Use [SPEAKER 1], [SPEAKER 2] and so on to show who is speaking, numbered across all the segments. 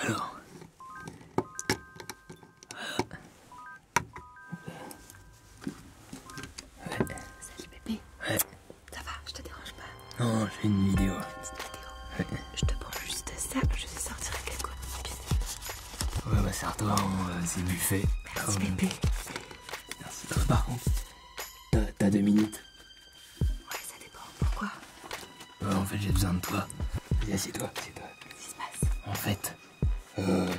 [SPEAKER 1] Alors. Euh, euh, salut bébé. Ouais. Ça va, je te dérange pas Non, j'ai une vidéo. Une vidéo. Je te prends juste ça, je vais sortir quelque chose. Ouais, bah euh, c'est à toi, c'est buffet. Merci bébé. Merci. Par contre, t'as deux minutes. Ouais, ça dépend. Pourquoi euh, En fait, j'ai besoin de toi. Viens, c'est toi c'est toi Qu'est-ce qui se passe En fait, euh,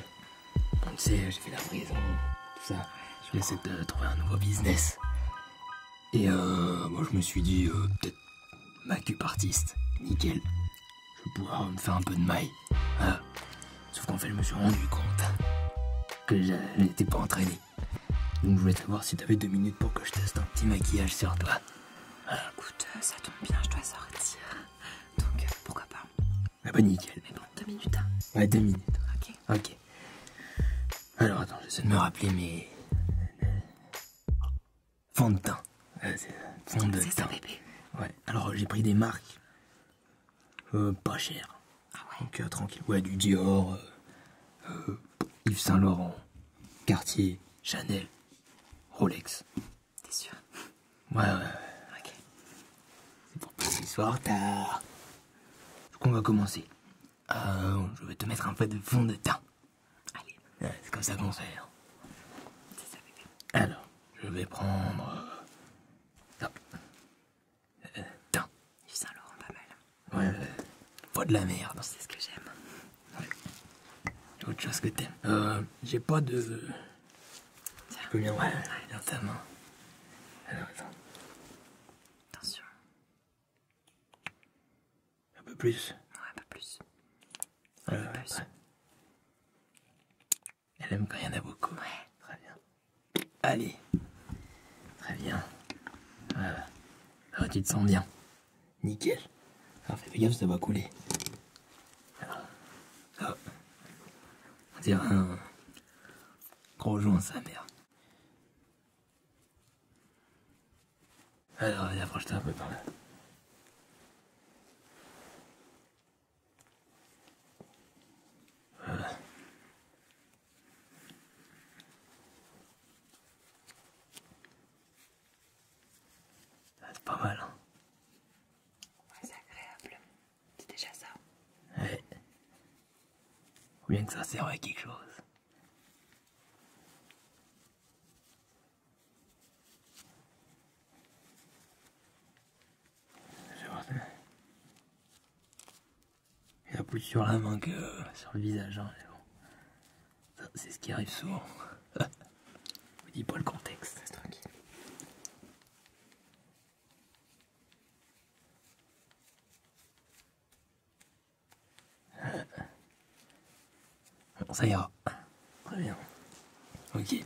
[SPEAKER 1] On le sait, j'ai fait la prison, hein, tout ça. Je essayer de trouver un nouveau business. Et euh, moi, je me suis dit, peut-être ma artiste. Nickel. Je pourrais pouvoir me faire un peu de maille. Sauf qu'en fait, je me suis rendu compte que je n'étais pas entraîné. Donc, je voulais savoir si tu avais deux minutes pour que je teste un petit maquillage sur toi. Euh, écoute, euh, ça tombe bien, je dois sortir. Donc, euh, pourquoi pas Ah bah nickel. Mais bon, deux minutes. Hein. Ouais, deux minutes. Ok. Ok. Alors, attends, j'essaie de me rappeler mes... Fond de teint. bébé. Ouais. Alors, j'ai pris des marques euh, pas chères. Ah ouais Donc, tranquille. Ouais, du Dior, Yves Saint Laurent. Cartier, Chanel, Rolex. T'es sûr Ouais, ouais. Ok. C'est pour plus ce soir tard. on va commencer. Euh, je vais te mettre un peu de fond de teint. Allez. c'est comme ça qu'on fait. Hein. C'est ça, bébé. Alors, je vais prendre... Top. Euh, euh, teint. Saint Laurent, pas mal. Ouais, pas euh, de la merde. C'est ce que j'aime. Ouais. Autre chose que t'aimes. Euh, j'ai pas de. Tiens. bien. Ouais, dans ta main. Alors, Attention. Un peu plus. Ouais, un peu plus. Un peu plus. Elle aime quand il y en a beaucoup. Ouais. Très bien. Allez. Très bien. Voilà. Alors, tu te sens bien. Nickel. Alors ah, fais gaffe, ça va couler. Ah. Ah. On dirait un gros joint, sa mère. Alors, allez, approche-toi un peu par là. Voilà. Ah, c'est pas mal. Hein. c'est agréable. C'est déjà ça. Ouais. Ou bien que ça sert à quelque chose. Il y a plus sur la main que euh, sur le visage, hein, c'est ce qui arrive souvent. Je vous dis pas le contexte, c'est tranquille. Bon, ça ira. Très bien. Ok. Oui,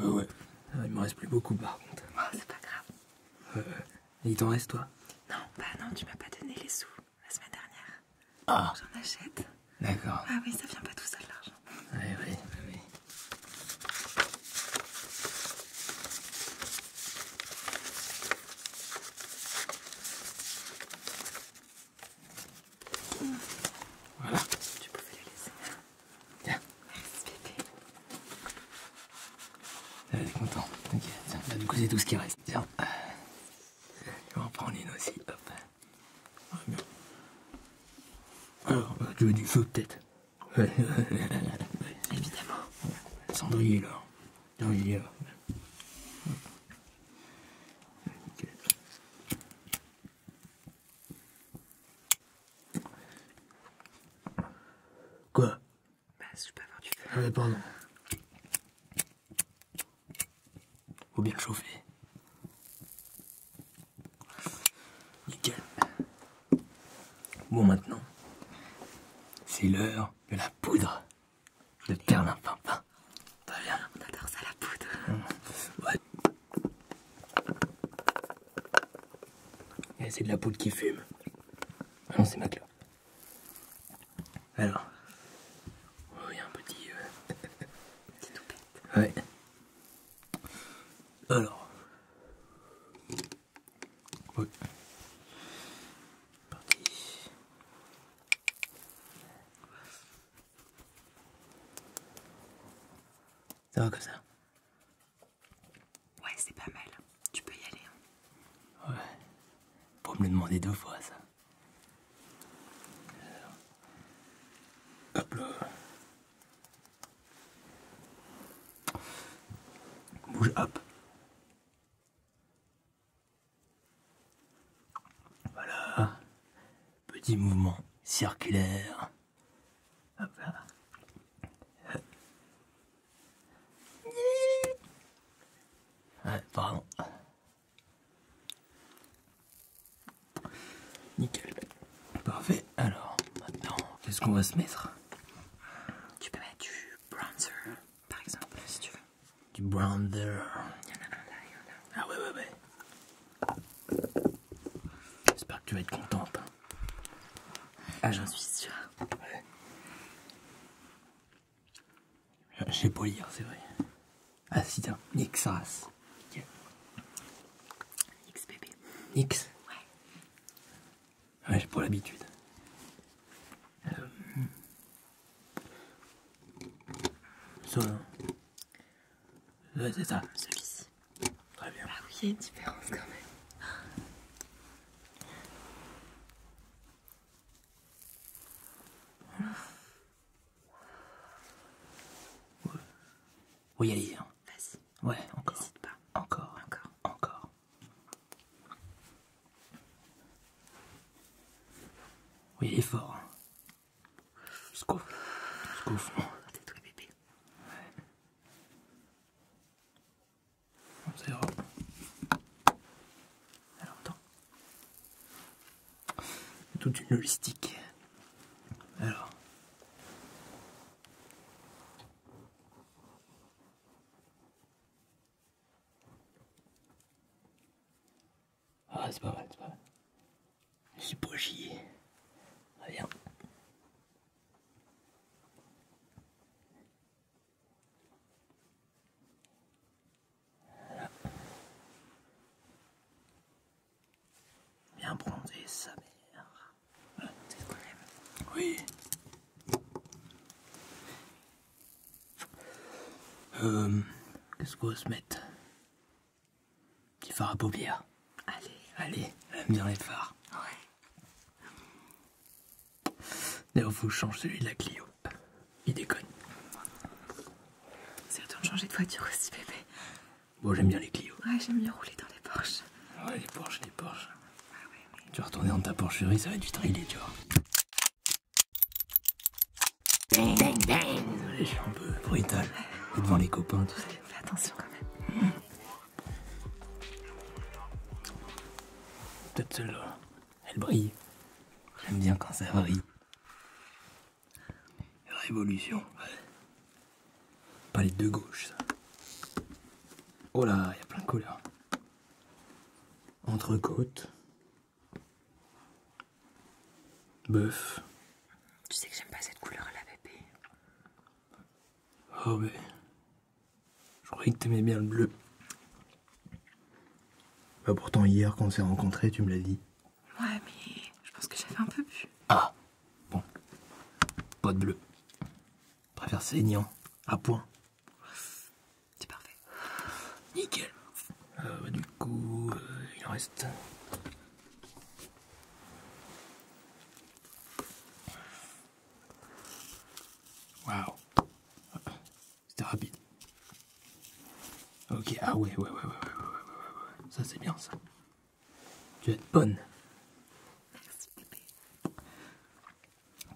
[SPEAKER 1] euh, ouais, euh, il me reste plus beaucoup par contre. Ah, c'est pas grave. Euh, et il t'en reste, toi Non, bah non, tu m'as pas donné les sous la semaine dernière. Ah. J'en achète. D'accord. Ah oui, ça vient pas tout seul, l'argent. Oui, oui, oui. Voilà. Tu pouvais les laisser. Tiens. Merci, elle euh, est contente. Ok, du coup, c'est tout ce qui reste. Tiens. on vas en prendre une aussi. Hop. Alors, bah, tu veux du feu, peut-être oui, Évidemment. Le Cendrier, là. y là. Quoi bah, je peux avoir du feu. pardon. Faut bien chauffer. Nickel. Bon, maintenant, c'est l'heure de la poudre de perlimpinpin. pas bien. On adore ça, la poudre. Mmh. ouais et C'est de la poudre qui fume. non, c'est ma clope. Alors, oui oh, il y a un petit, euh, Ouais. Alors, oui. Parti. Ça va comme ça. Ouais, c'est pas mal. Tu peux y aller. Hein. Ouais. Pour me le demander deux fois, ça. Hop là. Bouge, hop. Voilà. Petit mouvement circulaire. Hop là. Ouais, pardon. Nickel. Parfait. Alors, maintenant, qu'est-ce qu'on va se mettre Tu peux mettre du bronzer, par exemple, si tu veux. Du bronzer. Ah ouais, ouais, ouais. J'espère que tu vas être contente. Ah, j'en suis sûr Ouais. Je sais pas lire, c'est vrai. Ah si, ça. x X Ouais. Ouais, ah, j'ai pas l'habitude. Euh... Ça. Hein. c'est ça. Celui-ci. Très bien. Ah oui, il y a une différence quand même. Ouais. Oui, allez. Hein. Vas-y. Ouais, encore. N'hésite pas. Encore. Encore. Encore. Oui, il est fort. Hein. Scouf. Scouf. Oh, Tais-toi, bébé. Ouais. Ça Alors, attends. Toute une logistique. Alors. Ah, c'est pas mal, c'est pas mal. J'ai pas chier. bien. Bien bronzé, sa mère. c'est même. Oui. Euh, qu'est-ce qu'on va se mettre Des phare à paupières. Allez. Allez, aime bien les phares. Ouais. D'ailleurs, je change celui de la Clio. Il déconne. C'est le temps de changer de voiture aussi, bébé. Bon, j'aime bien les Clio. Ouais, j'aime bien rouler dans les Porsches. Ah ouais, les Porsches, les Porsches. Ah tu vas retourner dans ta porcherie, ça va être du trailer, tu vois. Ding, Désolé, je suis un peu brutal. Et devant les copains, tout ça. Fais attention quand même. Peut-être celle-là. Elle brille. J'aime bien quand ça brille. Révolution, Pas les deux gauches. Oh là, il y a plein de couleurs. Entrecôte. Bœuf. Tu sais que j'aime pas cette couleur à la bébé. Oh, mais je croyais que t'aimais bien le bleu. Bah pourtant hier quand on s'est rencontrés, tu me l'as dit. Ouais, mais je pense que j'avais un peu bu. Ah bon. Pas de bleu. Je préfère saignant, à point. C'est parfait. Nickel. Ah, bah, du coup, euh, il en reste. Wow. C'était rapide. Ok, ah ouais, ouais, ouais, ouais, ouais, ouais, ouais, ouais. Ça c'est bien ça. Tu vas être bonne.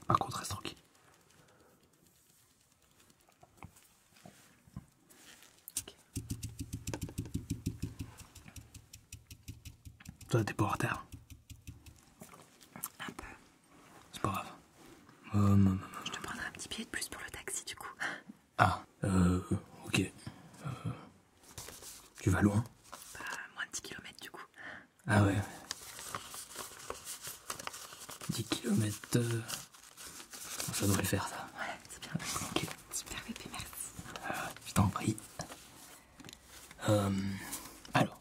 [SPEAKER 1] Par contre, reste tranquille. Toi, t'es pas en retard. Un peu. C'est pas grave. Euh, je te prendrai un petit billet de plus pour le taxi, du coup. Ah, euh, ok. Euh, tu vas loin Bah, moins de 10 km, du coup. Ah ouais. 10 km. Euh, ça devrait faire, ça. Ouais, c'est bien. Ok. Super bébé, merci. je t'en prie. alors,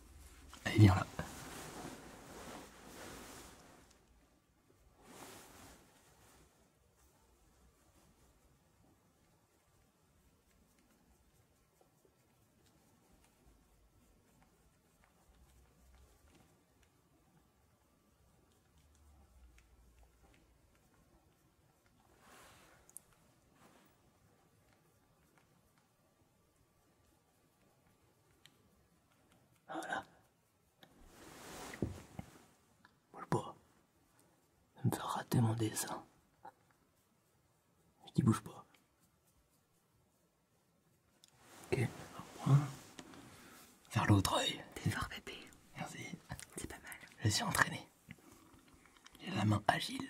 [SPEAKER 1] Allez, viens là. Voilà. Bouge pas. Ça me fait rater mon dessin. Je dis bouge pas. Ok, Vers l'autre œil. T'es fort, bébé. Merci. C'est pas mal. Je suis entraîné. J'ai la main agile.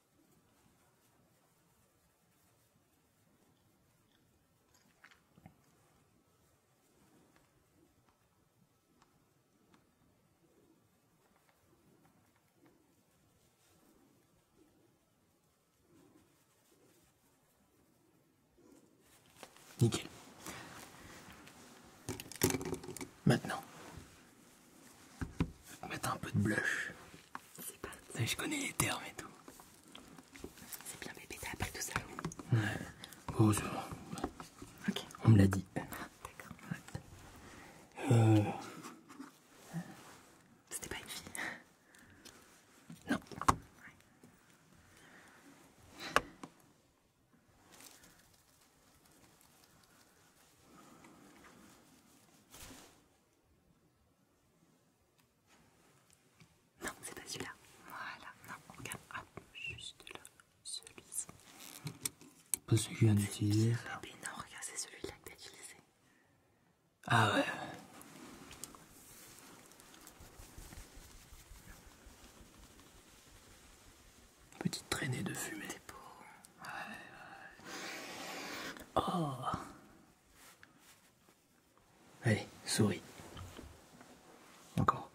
[SPEAKER 1] Nickel. Maintenant, mettre un peu de blush. C'est pas... Je connais les termes et tout. C'est bien bébé, t'as appris tout ça. Ouais. Oh, c'est bon. Ok, On me l'a dit. Ah, d'accord. Euh. C'était pas une fille. Non. Non, c'est pas celui-là. Voilà, non, regarde, Ah, juste là, celui-ci. Pas celui qui vient d'utiliser. non, regarde, c'est celui-là que t'as utilisé. Ah ouais. Petite traînée de fumée. C'est beau. Oh. Allez, souris. Encore.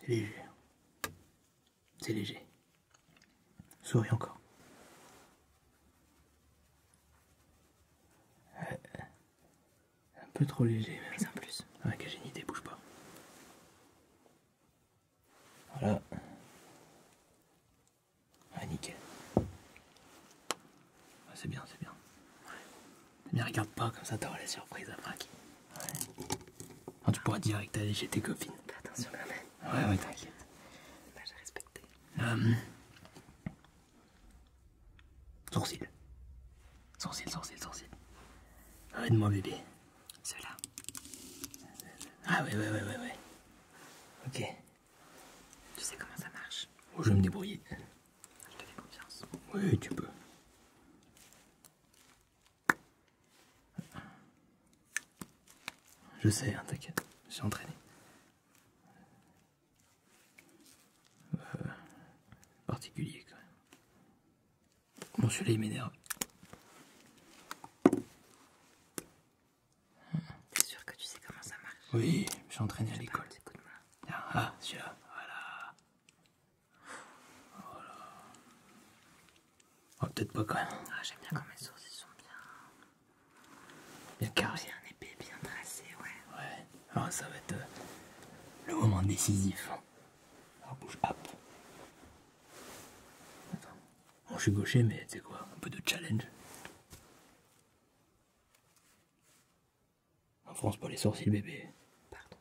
[SPEAKER 1] C'est léger. C'est léger. Souris encore. Un peu trop léger. Mais en plus. Ah, j'ai une idée, bouge pas. Voilà. Ah, nickel. Ah, c'est bien, c'est bien. Mais regarde pas, comme ça t'auras les surprises après. Ouais. tu pourras direct aller chez tes copines. Attention quand Ouais, ouais, t'inquiète. j'ai respecté. Euh, Sourcil. Sourcil, sourcil, sourcil. Arrête moi bébé. Cela. là Ah ouais, ouais, ouais, ouais, ouais. Ok. Tu sais comment ça marche oh, Je vais me débrouiller. Je te fais confiance. Oui, tu peux. Je sais, hein, t'inquiète. t'inquiète. suis entraîné. Euh, particulier quand même. Bon, celui-là il m'énerve. T'es sûr que tu sais comment ça marche Oui, je suis entraîné à l'école. Ah, ah celui-là, voilà. Voilà. Oh, peut-être pas quand même. Ah, j'aime bien quand mes sourcils sont bien. Bien carrées, Bien épais, bien tracés, Ouais. Alors, ah, ça va être euh, le moment décisif. Alors, ah, bouge, hop. Attends. Bon, je suis gaucher, mais c'est quoi Un peu de challenge. En France pas les sourcils, bébé. Pardon.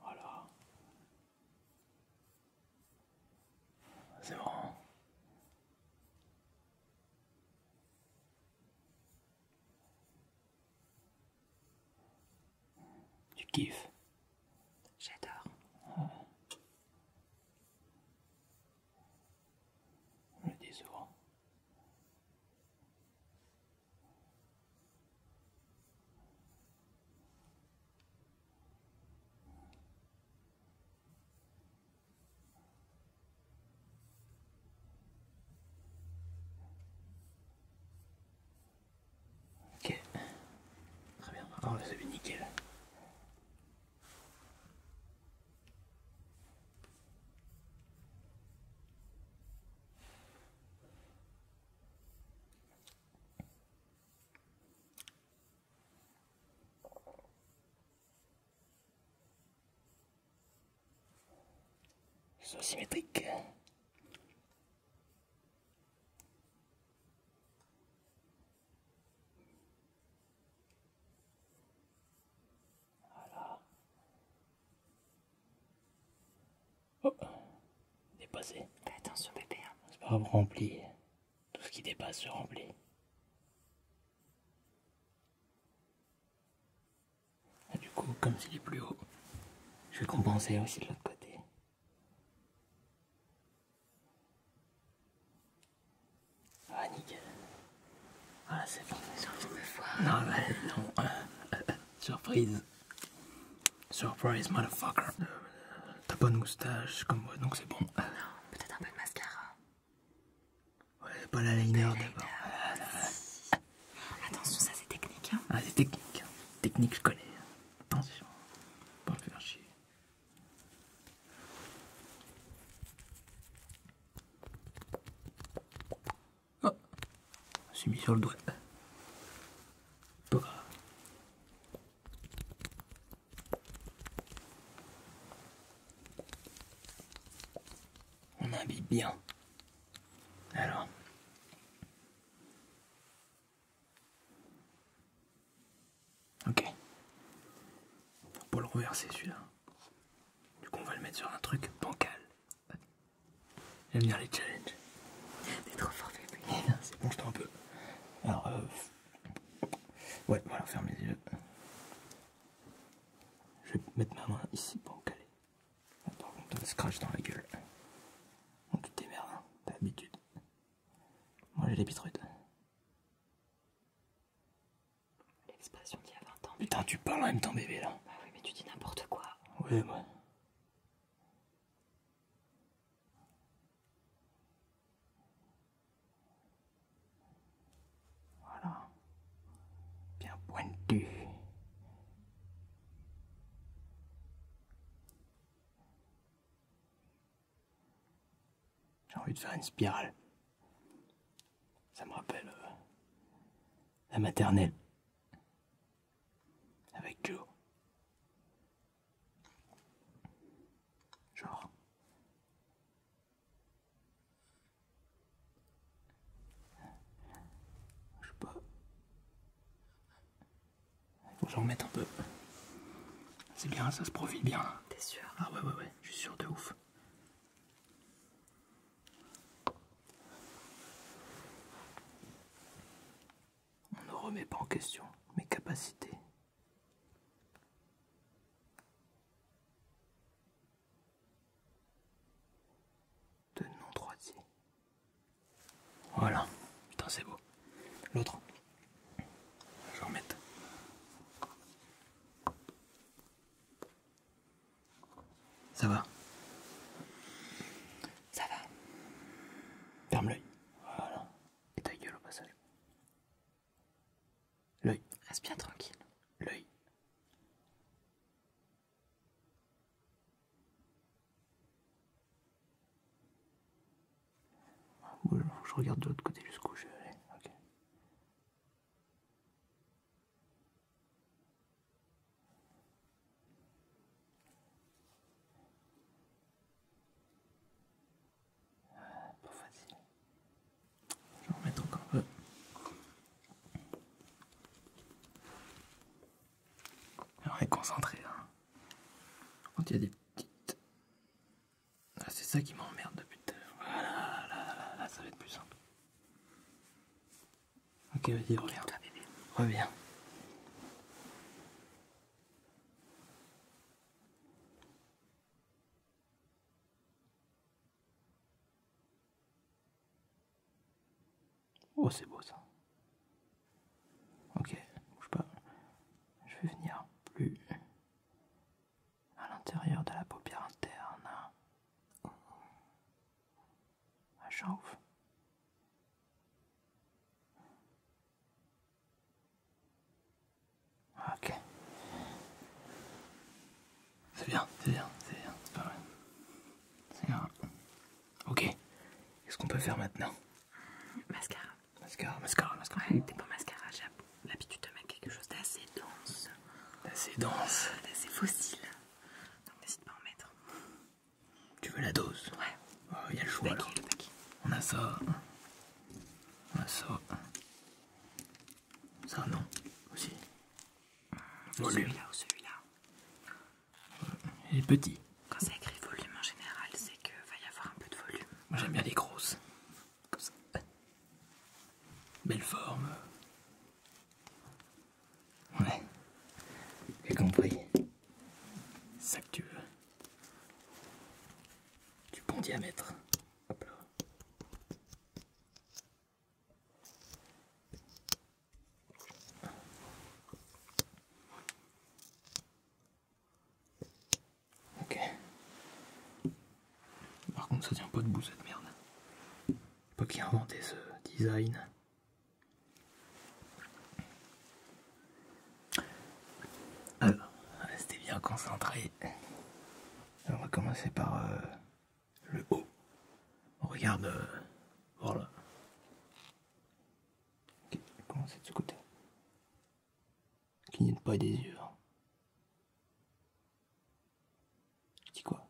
[SPEAKER 1] Voilà. C'est bon. Tu kiffes J'adore. Ok, très bien, oh, vous vu, nickel. Ils sont symétriques. Voilà. Oh, dépassé. Fais attention bébé. Hein. C'est pas rempli. Tout ce qui dépasse se remplit. Ah, du coup, comme c'est plus haut, je vais compenser aussi de l'autre côté. Ah, nickel. Ah c'est bon. J'ai envie fois. Non, non. Euh, euh, euh, surprise. Surprise, motherfucker. T'as pas de moustache comme moi, donc c'est bon. Oh peut-être un peu de mascara. Ouais, pas la liner d'abord. Attention, ça c'est technique. Hein. Ah, c'est technique. Technique, je connais. Attention, pas me faire chier. Oh, je suis mis sur le doigt. Pas on habille bien. Alors. Ok. Pour le reverser celui-là. Du coup on va le mettre sur un truc bancal. Et venir les challenges. T'es trop fort, bébé. Oh, c'est bon, je t'en un peu. Alors, euh... ouais, voilà, ferme les yeux. Je vais mettre ma main ici pour me caler. Par contre, t'as le scratch dans la gueule. Donc, tu t'émerdes, hein, t'as l'habitude. Moi, j'ai les bitrudes. L'expression d'il y a 20 ans. Putain, tu parles en même temps, bébé, là. Bah oui, mais tu dis n'importe quoi. Ouais, ouais. Voilà. Bien pointu. J'ai envie de faire une spirale. Ça me rappelle euh, la maternelle avec Joe. Genre. Je Faut j'en un peu. C'est bien, ça se profile bien. T'es sûr Ah ouais, ouais, ouais, je suis sûr de ouf. On ne remet pas en question mes capacités. De non-droitier. Voilà. Putain, c'est beau. L'autre. Je vais Ça va Ça va. Ferme l'œil. Voilà. Et ta gueule au passage. L'œil. Reste bien tranquille. L'œil. Je regarde de l'autre côté jusqu'où je vais pas facile. Je vais en mettre encore un peu. on est concentré Quand hein. il y a des petites. Ah, c'est ça qui m'emmerde depuis tout à l'heure. Voilà, là, là, ça va être plus simple. Ok, vas-y, reviens. Reviens. Oh, c'est beau ça. Ok, bouge pas. Je vais venir plus à l'intérieur de la paupière interne. À ah, chauffe. Ok. C'est bien, c'est bien, c'est bien, c'est pas mal. C'est bien. Ok. Qu'est-ce qu'on peut faire maintenant Mascara. Mascara, mascara, mascara. Ouais, t'es pas mascara, j'ai l'habitude de mettre quelque chose d'assez dense. D'assez dense euh, D'assez fossile. Donc n'hésite pas à en mettre. Tu veux la dose Ouais. Oh, il y a le choix. On a ça. On a ça. Ça, non. Aussi. Celui-là ou celui-là. Il est petit. Quand c'est écrit volume en général, c'est qu'il va y avoir un peu de volume. Moi j'aime bien les grosses. Comme ça. Belle forme. Ouais. J'ai compris tu veux. du bon diamètre. Hop là. Ok. Par contre, ça tient pas de debout cette merde. Pas qui a inventé ce design. Alors, restez bien concentré. On va commencer par euh, le haut. On regarde. Euh, voilà. Ok, va commencer de ce côté ait pas des yeux. tu hein. dis quoi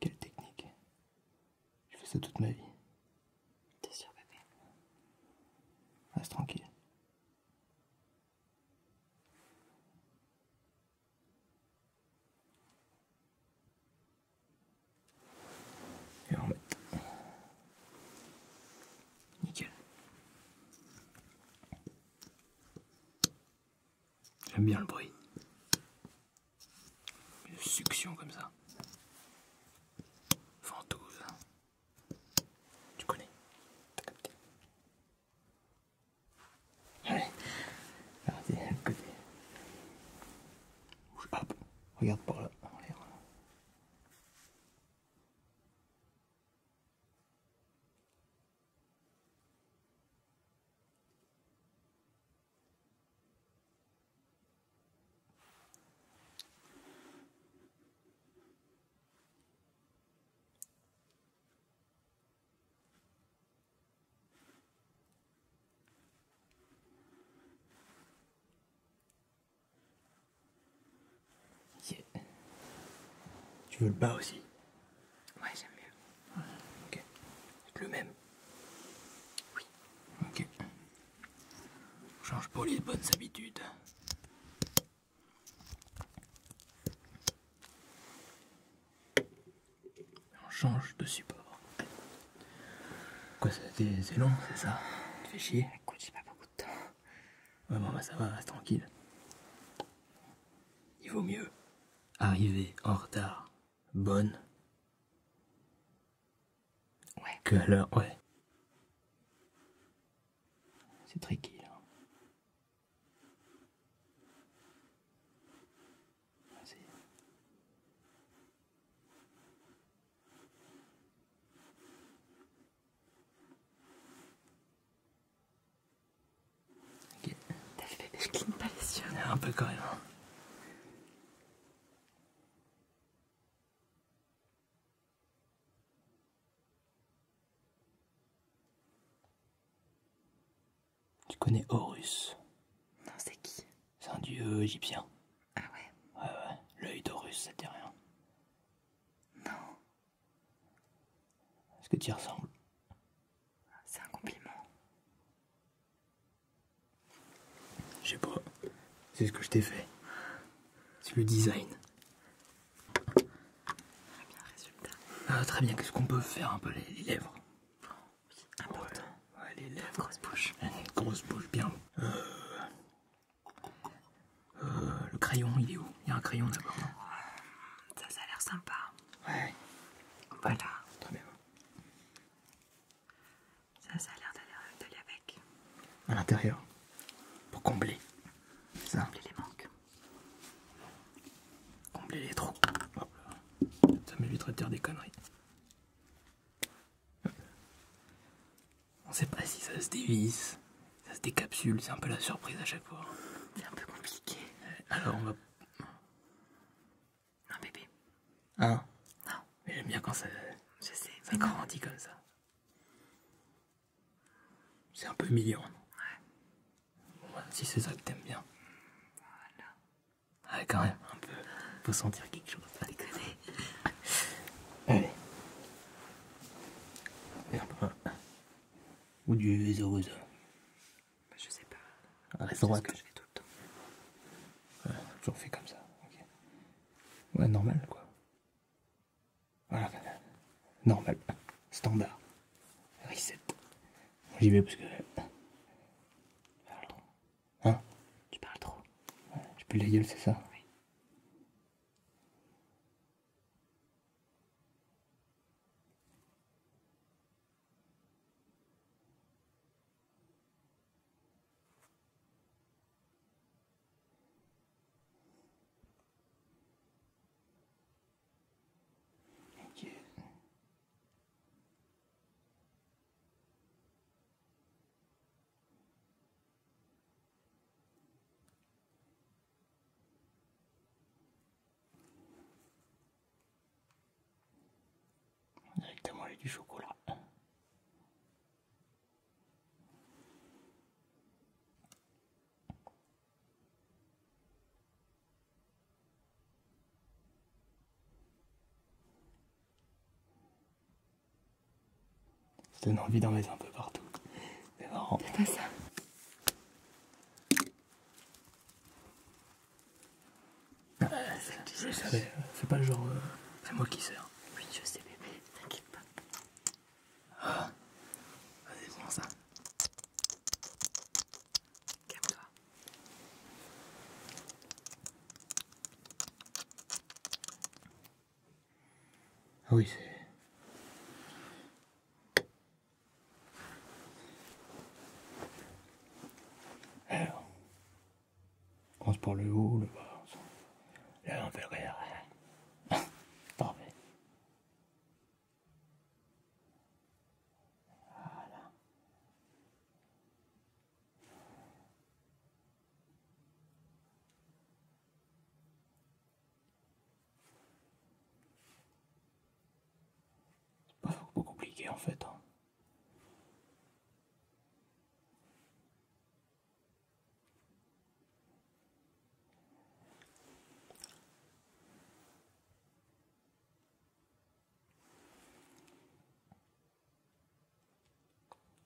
[SPEAKER 1] quelle technique Je fais ça toute ma vie. T'es sûr, bébé Reste tranquille. Et on met Nickel. J'aime bien le bruit. Une succion comme ça. Fantouze. Tu connais. Allez. regardez, Hop, regarde par là, en tu veux le bas aussi Oui j'aime mieux. Ok. le même Oui. Ok. On change pour les bonnes habitudes. On change de support. Quoi, c'est long, c'est ça Tu fais chier Écoute, j'ai pas beaucoup de temps. Ouais, bon, bah, ça va, reste tranquille. Il vaut mieux. Arriver en retard, bonne. Ouais. Que à l'heure, ouais. C'est tricky, Vas-y. je cligne pas les yeux. Un peu quand même. Hein. Tu connais Horus Non, c'est qui c'est un dieu égyptien. Ah ouais Ouais, ouais. L'œil d'Horus, ça rien. Non. Est-ce que tu y ressembles C'est un compliment. Je sais pas. C'est ce que je t'ai fait. C'est le design. Très bien, résultat. Ah, très bien. Qu'est-ce qu'on peut faire un peu les lèvres oui, important. les lèvres. grosse bouche. Une grosse bouche, bien. Euh, euh, le crayon, il est où Il y a un crayon d'abord, Ça, ça a l'air sympa. Ouais. Voilà. Très bien. Ça, ça a l'air d'aller avec. À l'intérieur. Pour combler. Ça. Combler les manques. Combler les trous. Ça m'évitera de dire des conneries. On sait pas si ça se dévisse, ça se décapsule, c'est un peu la surprise à chaque fois. C'est un peu compliqué. Alors on va. Non, bébé. Hein Non. Mais j'aime bien quand ça. grandit comme ça. C'est un peu mignon. Ouais. Bon, bah, si c'est ça que t'aimes bien. Voilà. Ah quand même, un peu. Faut sentir quelque chose. Pas déconner. Allez. Merde, Ou du Bah Je sais pas. À C'est que je fais tout le temps. toujours fait comme ça. ok. Ouais, normal, quoi. Voilà, normal. Standard. Reset. J'y vais parce que... Hein tu parles trop. Tu peux la gueule, c'est ça Directement avec du chocolat. Ça donne envie d'en mettre un peu partout. C'est marrant. C'est pas ça. Ah, euh, c'est pas le genre. Euh, c'est moi qui sers. Oui, je sais, bébé, t'inquiète pas. Ah, vas-y, prends ça. Calme-toi. Ah oui, c'est... Alors, on se par le haut, le bas. Là, on fait arrière, Parfait. Voilà. C'est Pas beaucoup compliqué en fait. Hein.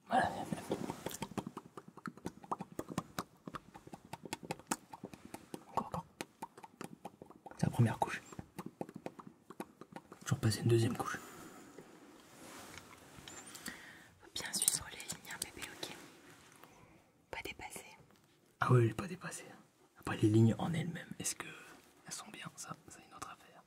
[SPEAKER 1] Voilà. C'est la première couche. Je vais repasser une deuxième couche. Faut bien suivre les lignes, hein, bébé, ok Pas dépassé. Ah oui, pas dépassé. Hein. Après les lignes en elles-mêmes, est-ce que elles sont bien Ça, c'est une autre affaire.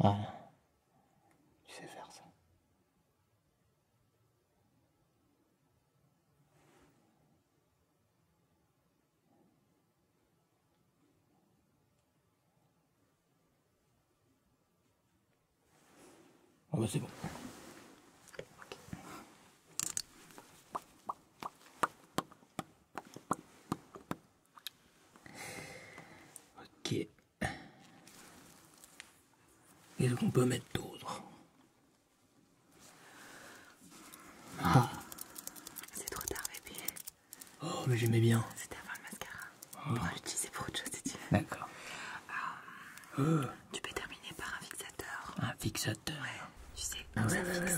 [SPEAKER 1] Voilà. Tu sais faire ça. Oh c'est bon. Ok. est ce qu'on peut mettre d'autres ah. C'est trop tard, bébé. Oh, mais j'aimais bien. C'était avant le mascara. Oh. On va l'utiliser pour autre chose si tu veux. D'accord. Euh, euh. Tu peux terminer par un fixateur. Un fixateur Ouais, tu sais. Ah, ça fixe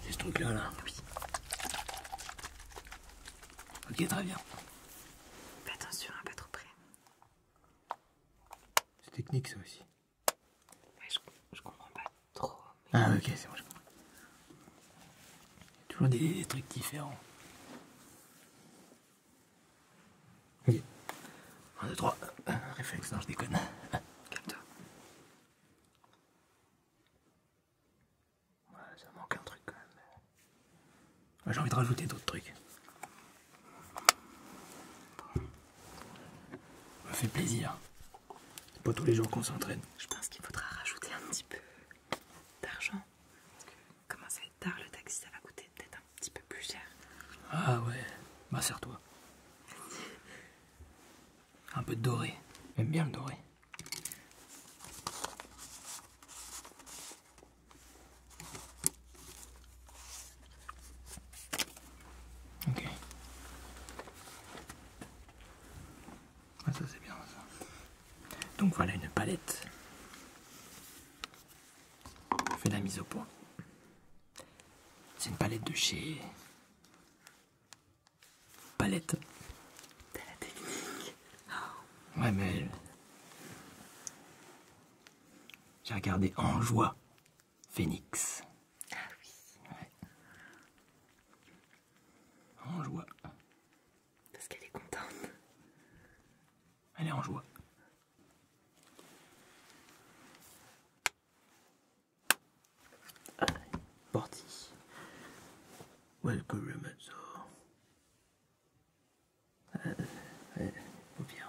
[SPEAKER 1] C'est ce truc-là, là. Oui. Ok, très bien. Fais attention, à pas trop près. C'est technique, ça aussi je, comprends pas trop. Ah, ok, c'est bon, je comprends. Il y a toujours des, trucs différents. Ok. 1, 2, 3. Réflexe, non, je déconne. Calme-toi. Ouais, ça manque un truc quand même. J'ai envie de rajouter d'autres trucs. Ça fait plaisir. pas tous les jours qu'on s'entraîne. Je pense qu'il faudra rajouter un petit peu d'argent. Comment ça va être tard le taxi, ça va coûter peut-être un petit peu plus cher. Ah ouais, bah serre-toi. Un peu de doré. J'aime bien le doré. Ok. Ah, ça c'est bien ça. Donc voilà une palette. Je fais la mise au point. C'est une palette de chez Palette. Ouais mais j'ai regardé en joie Phoenix. Ah oui. En joie. Parce qu'elle est contente. Elle est en joie. Allez, Welcome, to euh, euh, au pire.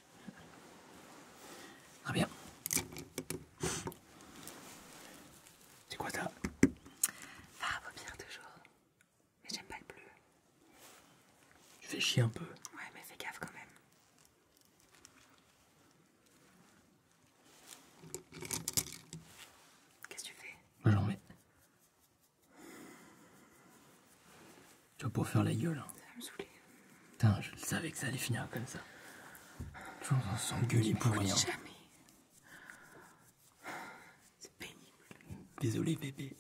[SPEAKER 1] Très bien. C'est quoi ça Ah à paupières toujours. Mais j'aime pas le bleu. Tu fais chier un peu. Ouais, mais fais gaffe quand même. Qu'est-ce que tu fais Moi j'en mets. Tu vas pouvoir faire la gueule. Hein. Ça va me saouler. Putain, je savais que ça allait finir comme ça. Toujours dans son pour rien. Hein. C'est pénible. Désolé, bébé.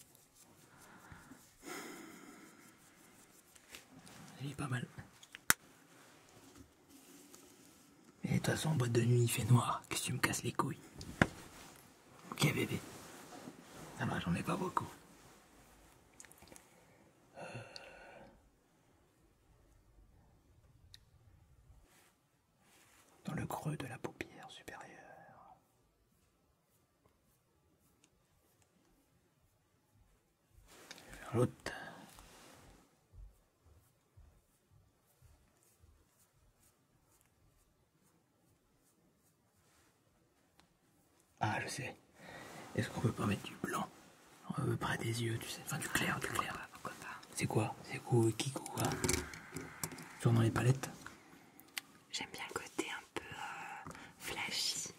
[SPEAKER 1] Il est pas mal. Et de toute façon, en boîte de nuit, il fait noir. Qu'est-ce que tu me casses les couilles Ok, bébé. Ça va, j'en ai pas beaucoup. Euh dans le creux de la paupière supérieure. l'autre. Ah, je sais. Est-ce qu'on peut pas mettre du blanc euh, près des yeux, tu sais Enfin, du clair, du clair. pourquoi pas, C'est quoi C'est quoi Qui quoi dans les palettes J'aime bien le côté un peu euh, flashy. Ça,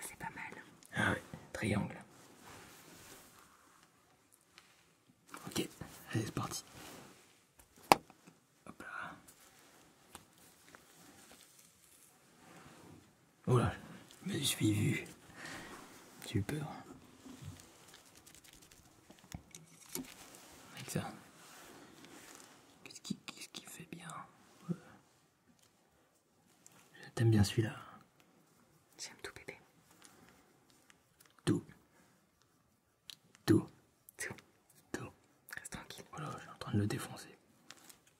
[SPEAKER 1] c'est pas mal. Ah oui. triangle. Ok, allez, c'est parti. Hop là. Oh là, je suis vu. J'ai eu peur. Avec ça. Qu'est-ce qui, fait bien Je t'aime bien celui-là. J'aime tout, bébé. Tout. Tout. Tout. Tout. Reste tranquille. Oh je suis en train de le défoncer.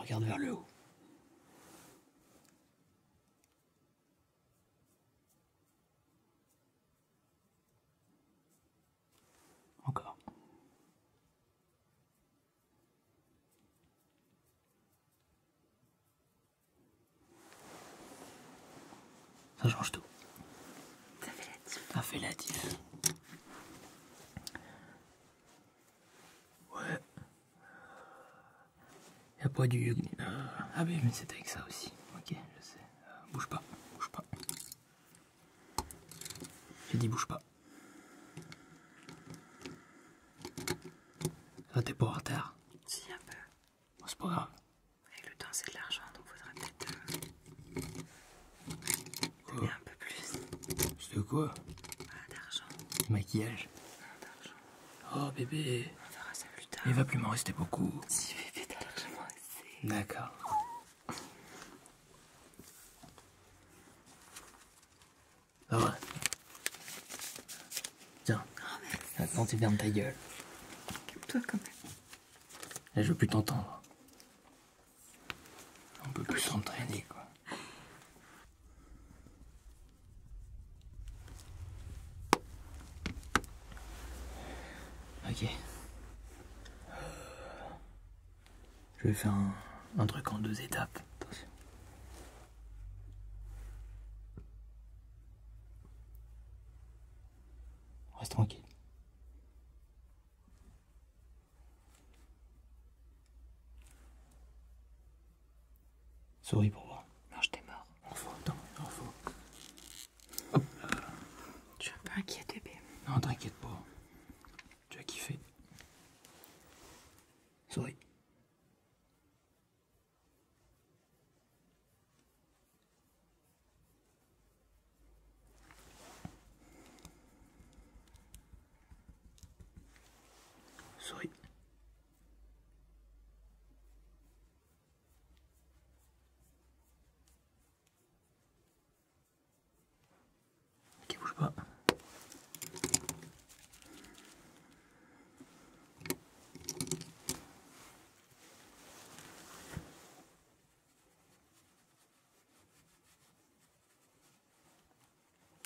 [SPEAKER 1] regarde vers le haut. Encore. Ça change tout. Ça fait la diff. Ça fait la diff. Ouais. Y'a pas du... Ah ben mais c'est avec ça aussi. Ok, je sais. Euh, bouge pas, bouge pas. J'ai dit bouge pas. Ça t'es pas en retard. Si, un peu. c'est pas grave. Avec le temps, c'est de l'argent, donc faudra peut-être. Euh, un peu plus. C'est de quoi ah, D'argent. Maquillage Non, ah, d'argent. Oh, bébé. On verra ça plus tard. Il va plus m'en rester beaucoup. Si, bébé, t'as largement assez. D'accord. Pas vrai. Tiens. Oh, Attends, tu fermes ta gueule. Calme-toi quand même. je veux plus t'entendre. On peut plus s'entraîner, quoi. Ok. Je vais faire un, truc en deux étapes. Attention. Reste tranquille. Souris pour moi. Non, je t'ai mort. En attends, en faut. Hop. Je suis un peu inquiète, bébé. Non, t'inquiète pas. Tu as kiffé. そうそうい qui bouge pas.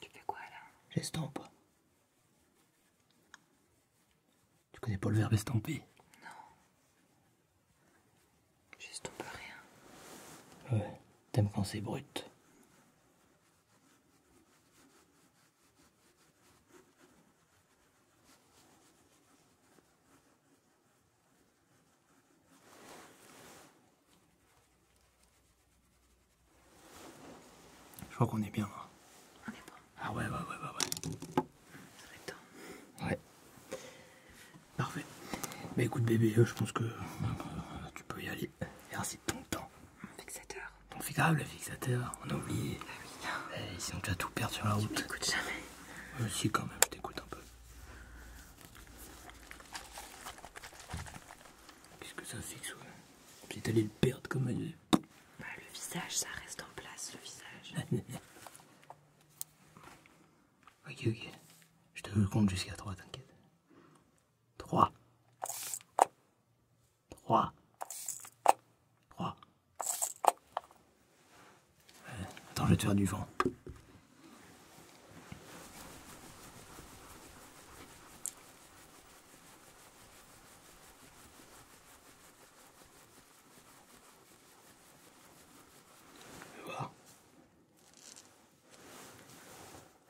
[SPEAKER 1] Tu fais quoi là J'estompe. Tu connais pas le verbe estomper Non. J'estompe rien. Ouais, t'aimes quand c'est brut. Je crois qu'on est bien. là. Hein. On est pas. Ah ouais, ouais, ouais, ouais. ouais. Ouais. Parfait. Mais écoute bébé, euh, je pense que euh, tu peux y aller. Merci de ton temps. Mon fixateur. Ton fixateur, le fixateur, on a oublié. Ah oui. sinon tu vas tout perdre sur la route. Tu m'écoutes jamais. Moi euh, aussi quand même, je un peu. Qu'est-ce que ça fixe ouais Si t'allais le perdre comme elle. Bah, le visage, ça reste en place, le visage. ok, ok. Je te compte jusqu'à 3, t'inquiète. 3 3 3 Attends, je vais te faire du vent.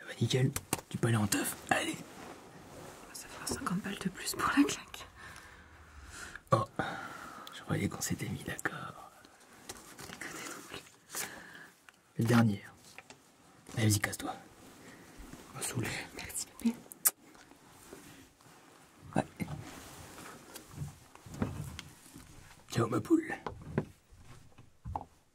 [SPEAKER 1] Ah bah, nickel, tu peux aller en teuf, allez Ça fera 50 balles de plus pour la claque. Oh, je croyais qu'on s'était mis d'accord. Le dernier. Allez, vas-y, casse-toi. On Merci, Ciao, ma poule.